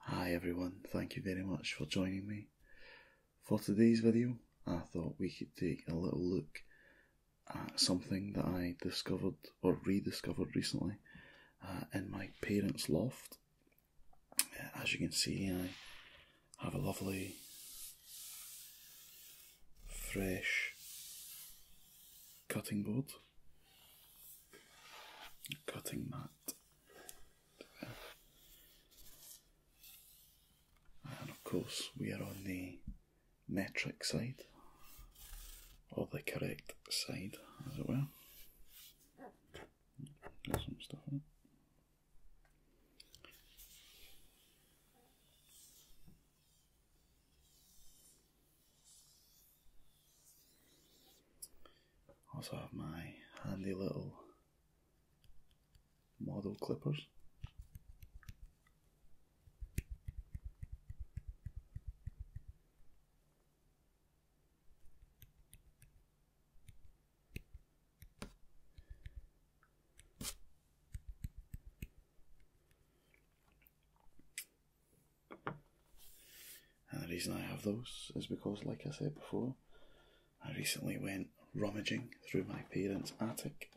Hi everyone, thank you very much for joining me. For today's video, I thought we could take a little look at something that I discovered or rediscovered recently uh, in my parents' loft. Uh, as you can see, I have a lovely, fresh cutting board, cutting mat and of course, we are on the metric side, or the correct side, as it were. some stuff also have my handy little model clippers. And the reason I have those is because, like I said before, I recently went rummaging through my parents' attic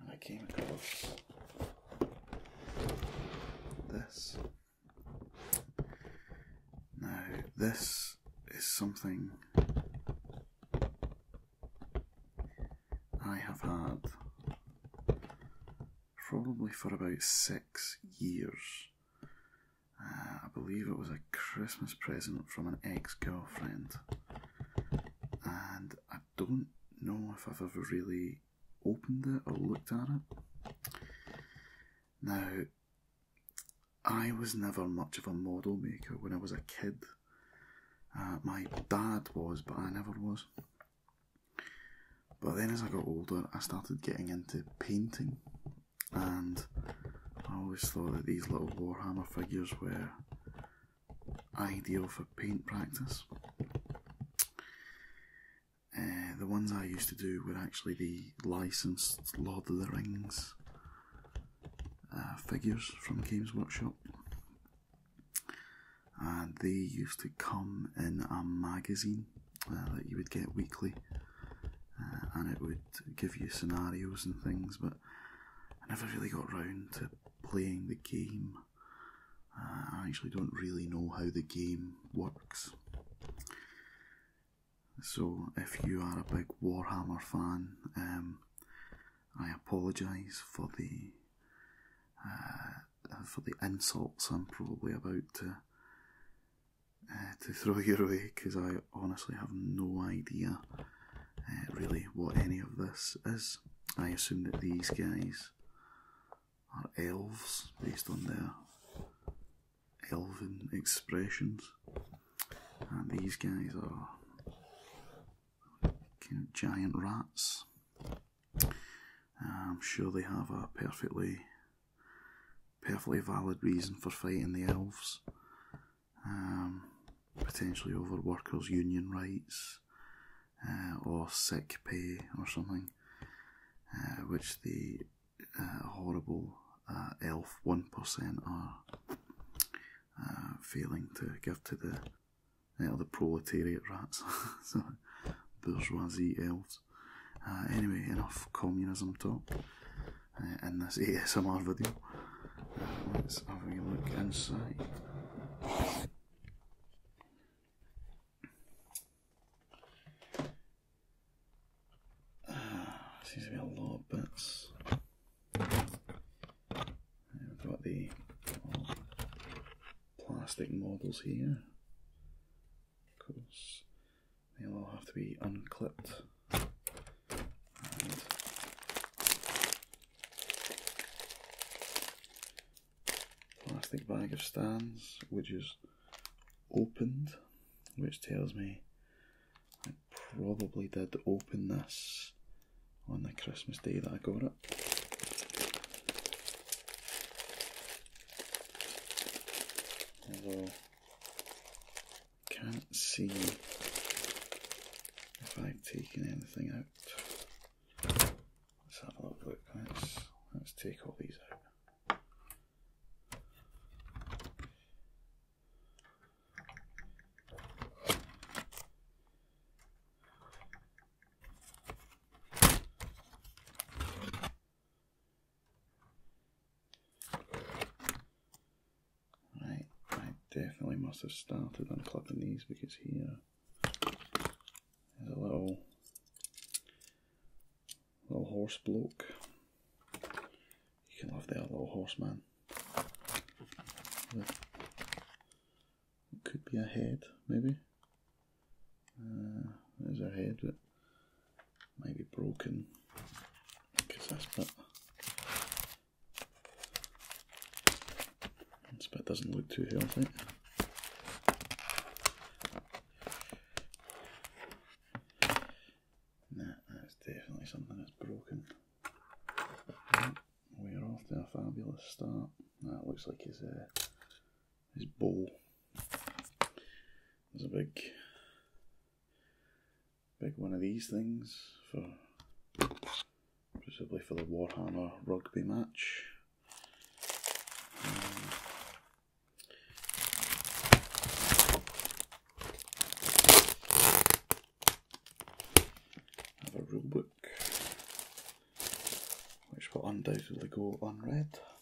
and I came across this. Now, this is something I have had probably for about six years. Uh, I believe it was a Christmas present from an ex girlfriend. And I don't know if I've ever really opened it or looked at it. Now, I was never much of a model maker when I was a kid. Uh, my dad was, but I never was. But then as I got older, I started getting into painting, and I always thought that these little Warhammer figures were ideal for paint practice. Uh, the ones I used to do were actually the licensed Lord of the Rings uh, figures from Games Workshop. And they used to come in a magazine uh, that you would get weekly, uh, and it would give you scenarios and things. But I never really got round to playing the game. Uh, I actually don't really know how the game works. So, if you are a big Warhammer fan, um, I apologise for the for the insults I'm probably about to uh, to throw your way because I honestly have no idea uh, really what any of this is. I assume that these guys are elves based on their elven expressions, and these guys are kind of giant rats. I'm sure they have a perfectly perfectly valid reason for fighting the elves. Um, potentially over workers' union rights uh, or sick pay or something, uh, which the uh, horrible elf 1% are failing to give to the, the proletariat rats. bourgeoisie elves. Uh, anyway, enough communism talk in uh, this ASMR video. Uh, let's have a look inside. Uh, seems to be a lot of bits. We've got the plastic models here. Of course, they will have to be unclipped. plastic bag of stands, which is opened, which tells me I probably did open this on the Christmas day that I got it. Although, can't see if I've taken anything out. Let's have a look. Let's, let's take all these out. I definitely must have started on unclipping these because here is a little little horse bloke. You can love that little horseman. With, could be a head, maybe. Uh, there's her head, but might be broken because that's bit, this doesn't look too healthy. Nah, that's definitely something that's broken. We're off to a fabulous start. That looks like his this ball. There's a big, big one of these things for possibly for the Warhammer rugby match. Um, have a rule book which will undoubtedly go unread.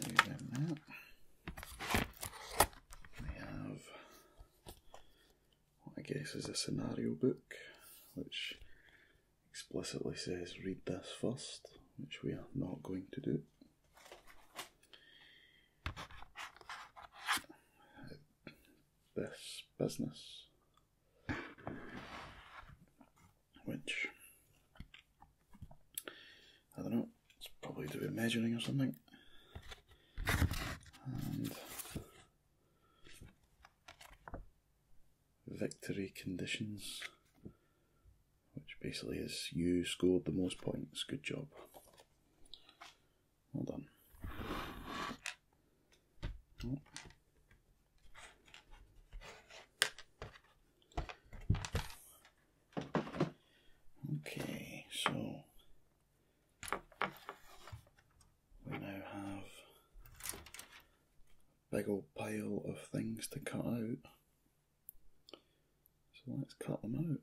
Leave We have I guess is a scenario book, which explicitly says read this first, which we are not going to do. This business, which I don't know, it's probably to do measuring or something victory conditions, which basically is you scored the most points. Good job. Well done. Okay, so we now have a big old pile of things to cut out. So let's cut them out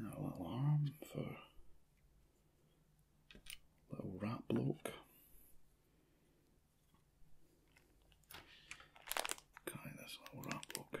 little arm for little rat bloke. Guy, this little rat bloke.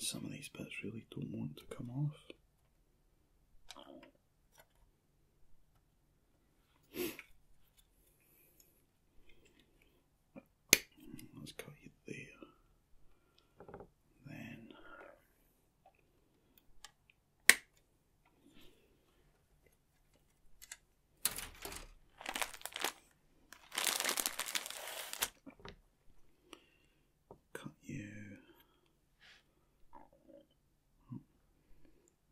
Some of these bits really don't want to come off. Let's cut you there. Then cut you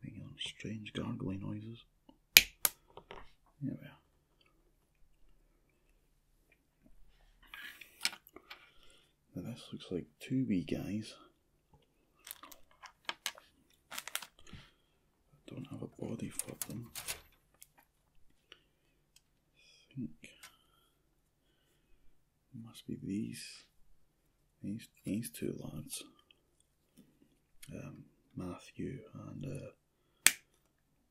Making some strange gargling noises. There we are. Now this looks like two wee guys. I don't have a body for them. think must be these, these, these two lads, um, Matthew and uh,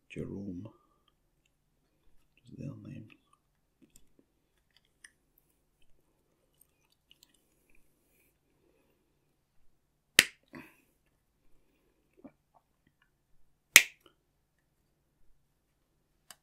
Jerome. Is their names?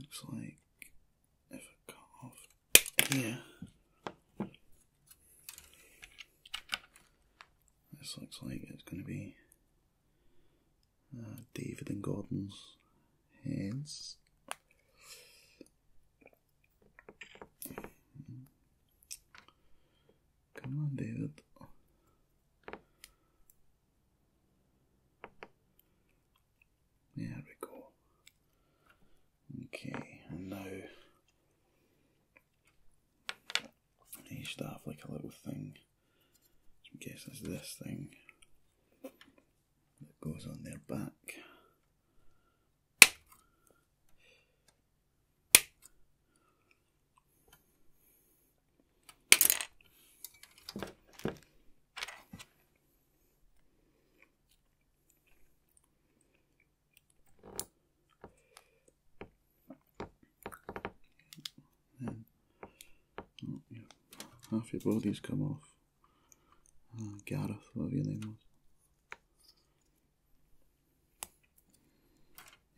Looks like if I cut off here, this looks like it's going to be uh, David and Gordon's hands. Come on, David. There we go. Okay, and now you should have like a little thing. I guess it's this thing that goes on their back half your bodies come off. Oh, Gareth, whatever your name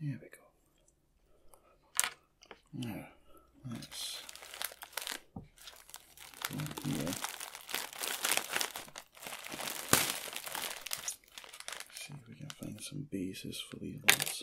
there we go. Now, let's go See if we can find some bases for these ones.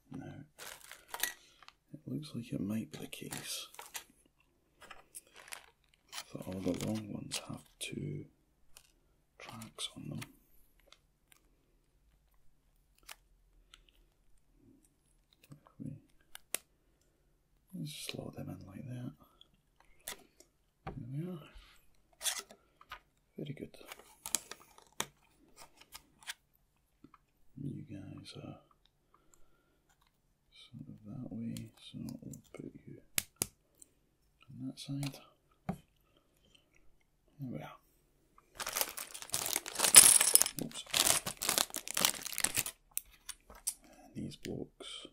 Now, it looks like it might be the case that all the long ones have two tracks on them. Let's slot them in like that. There we are. Very good. You guys are sort of that way, so we'll put you on that side. There we are. Oops. these blocks.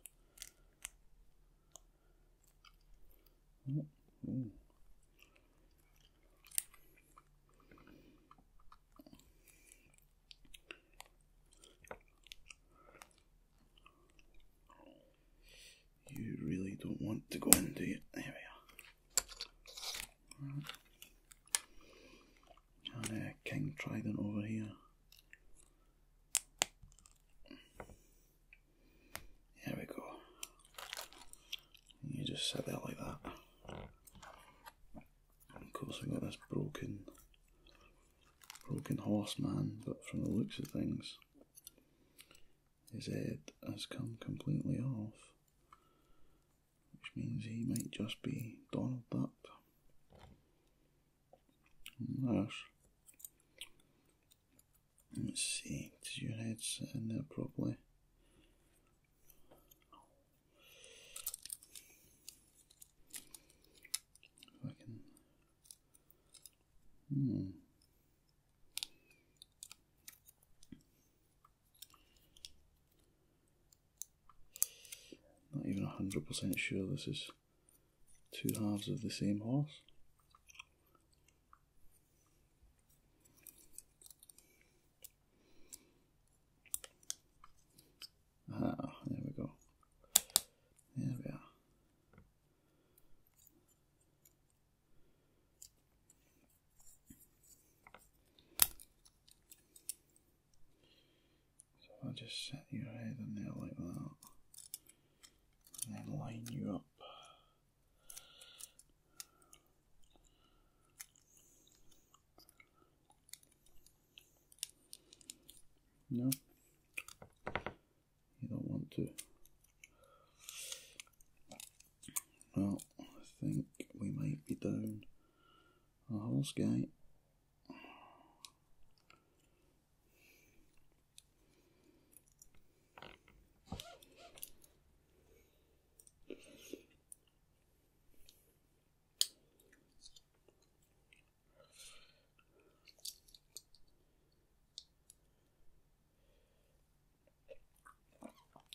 Oh, you really don't want to go in, do you? There we are. And uh, King Trident over here. There we go. You just set that like that. Of course, we got this broken, broken man. but from the looks of things, his head has come completely off, which means he might just be Donald Duck. And Let's see, did your head sit in there properly? If I can. Hmm. Not even 100% sure this is two halves of the same horse. Ah, there we go. There we are. So I'll just set your head in there like that, and then line you up. No, you don't want to. Well, I think we might be down a horse guy.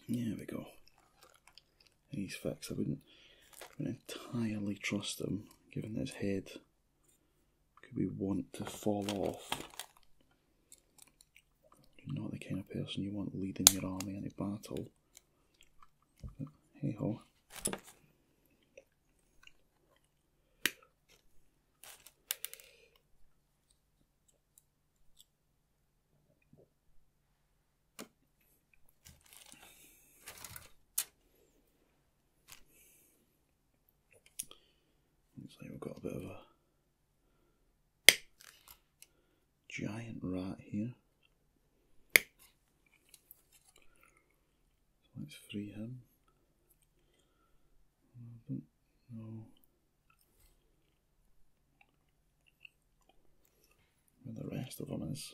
There we go. These facts, I wouldn't, entirely trust them, given his head could we want to fall off. You're not the kind of person you want leading your army in a battle. hey ho. Looks like we've got a bit of a giant rat here. So let's free him. I where the rest of them is.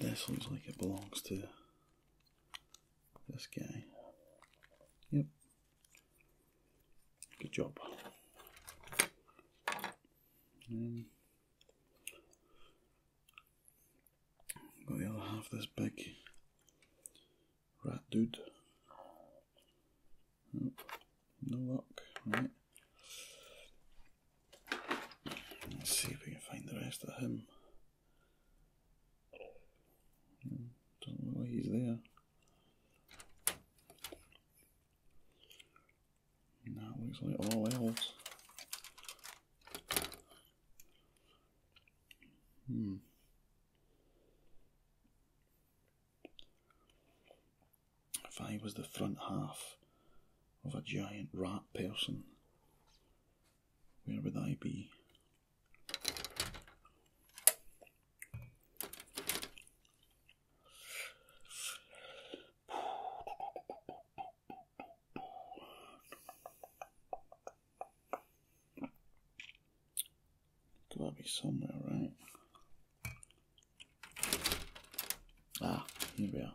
This looks like it belongs to this guy. Yep. Good job. Got the other half this big rat dude. No luck, right. Let's see if we can find the rest of him. Don't know why he's there. That looks like all elves. Hmm. If I was the front half of a giant rat person, where would I be? Gotta be somewhere, right? Ah, here we are.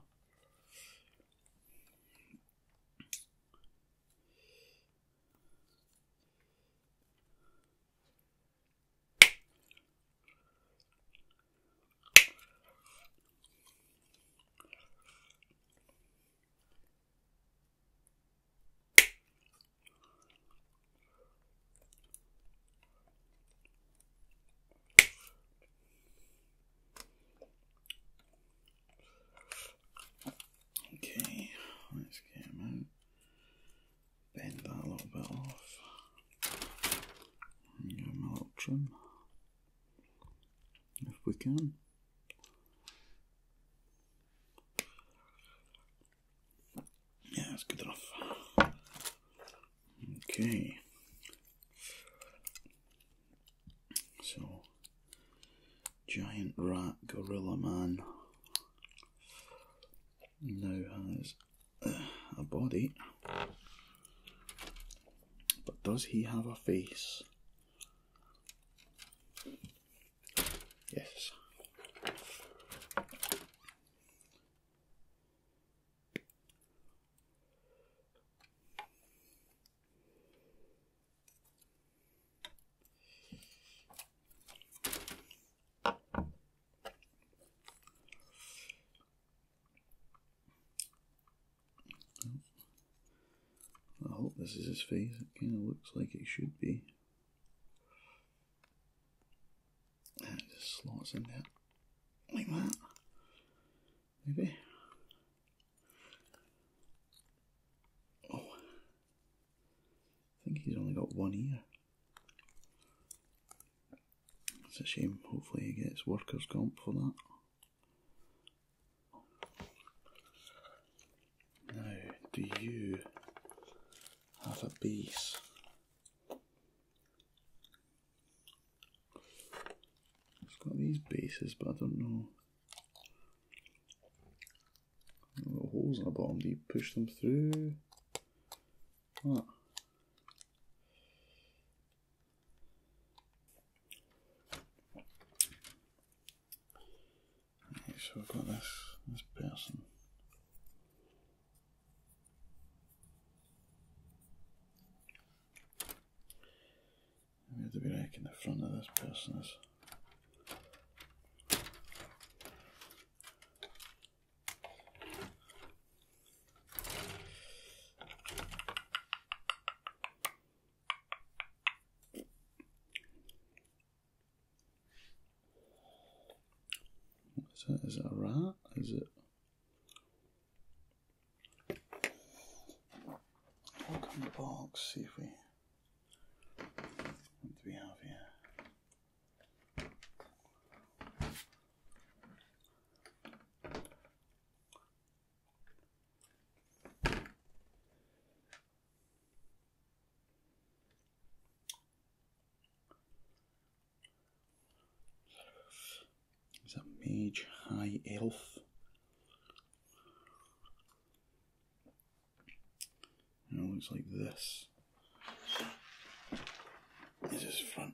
Okay, let's get him out. Bend that a little bit off. Give them little trim if we can. Yeah, that's good enough. Okay. So, giant rat gorilla man No has a body, but does he have a face? Yes. I hope this is his face. It kind of looks like it should be. And ah, just slots in there. Like that. Maybe. Oh. I think he's only got one ear. It's a shame. Hopefully, he gets workers' comp for that. Now, do you have a base? It's got these bases, but I don't know. Little holes in the bottom. Do you push them through? so we have got this this person. to be we in the front of this person is that a rat? Is it? Look the box, see if we. What do we have here? Is a mage high elf? And it looks like this. This is front.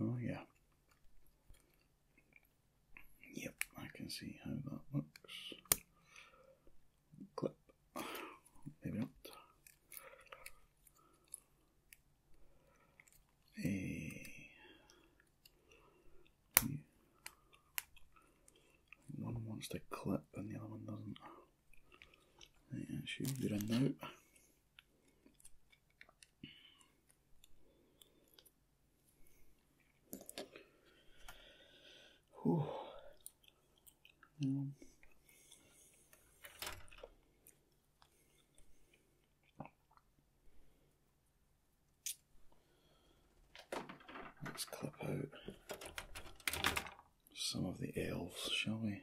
Oh, yeah. Yep, I can see how that looks. Clip. Maybe not. A. One wants to clip and the other one doesn't. Yeah, she'll get a note. Let's clip out some of the elves, shall we?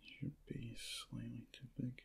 Should be slightly too big.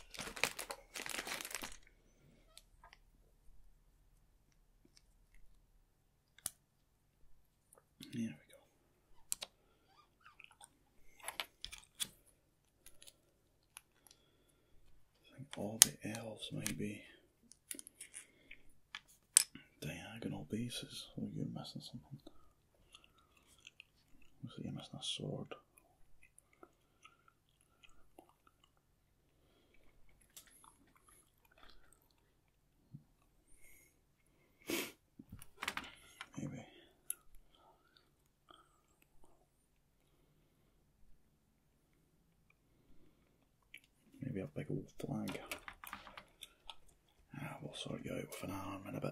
There we go. think all the L's may diagonal bases. Oh, you're messing something. Zjemy na sword. Maybe. Maybe a little flag. Ah, we sort you out with an arm and a bit.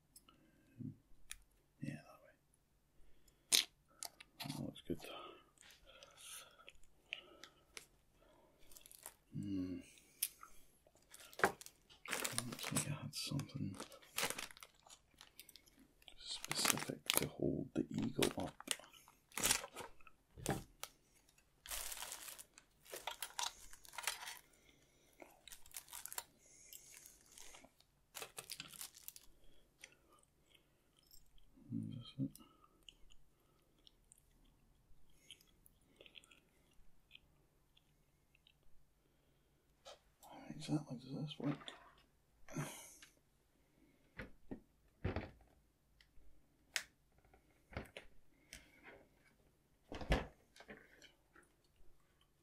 Um, yeah, that way. Oh, that looks good. Hmm. Looks like I had something specific to hold the eagle up. That's it. Exactly does this work?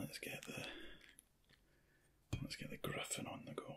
Let's get the let's get the griffin on the go.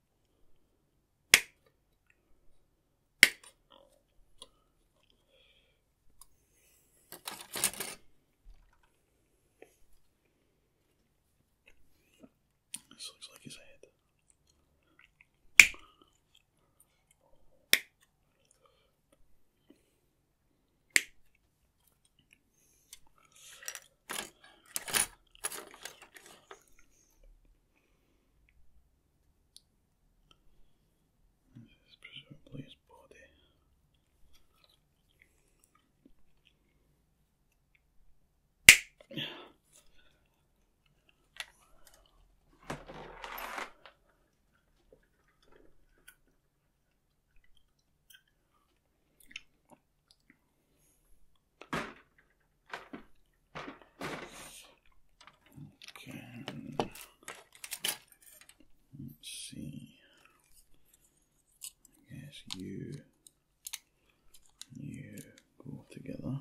This looks like his head. This is presumably his body. Okay. Let's see. Yes, you you go together.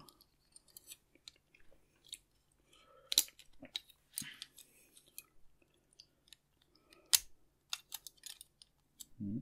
Mm.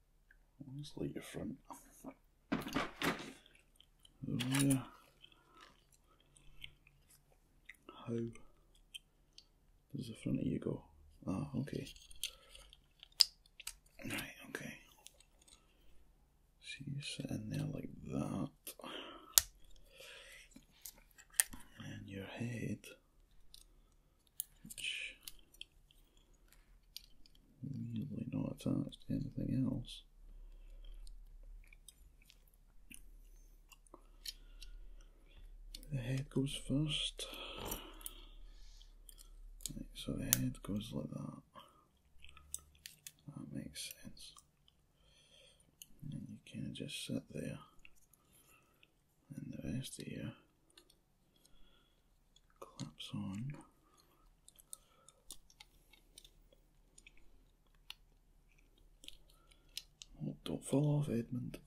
Let's light your front. There. Oh, How does the front of you go? Ah, okay. Right, okay. So you sit in there like that. And your head which not attached to anything else. The head goes first. so the head goes like that. That makes sense. And you kind of just sit there and there's the uh, clips on. Oh, don't fall off, Edmund.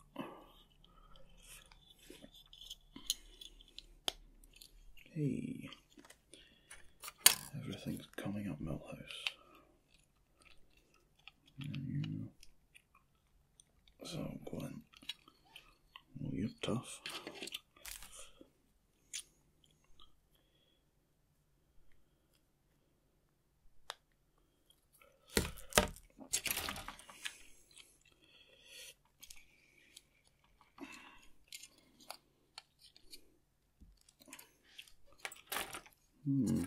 Hey, everything's coming up, Millhouse. So, Gwen, well, you're tough. Hmm.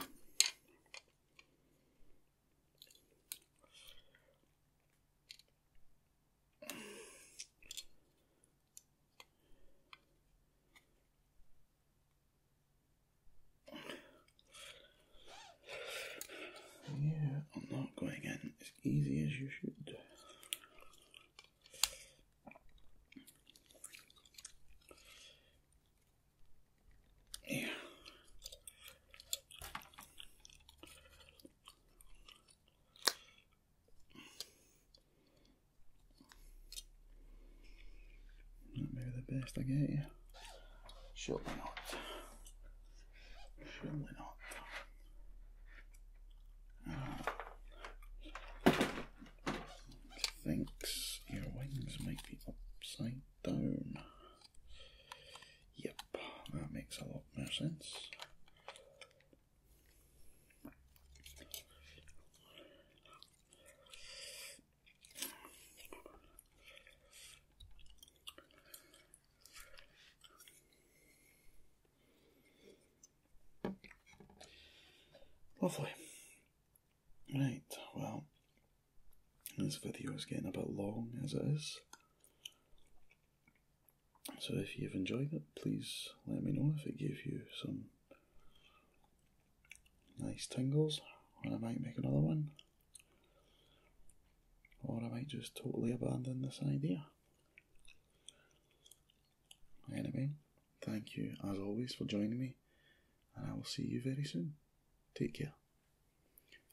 Yeah, I'm not going in as easy as you should. Yeah. Maybe the best I get you. Surely not. Surely not. thinks your wings might be upside down. Yep, that makes a lot more sense. Lovely. Right, well, this video is getting a bit long as it is. So if you've enjoyed it, please let me know if it gave you some nice tingles, and I might make another one. Or I might just totally abandon this idea. Anyway, thank you as always for joining me, and I will see you very soon. Take care.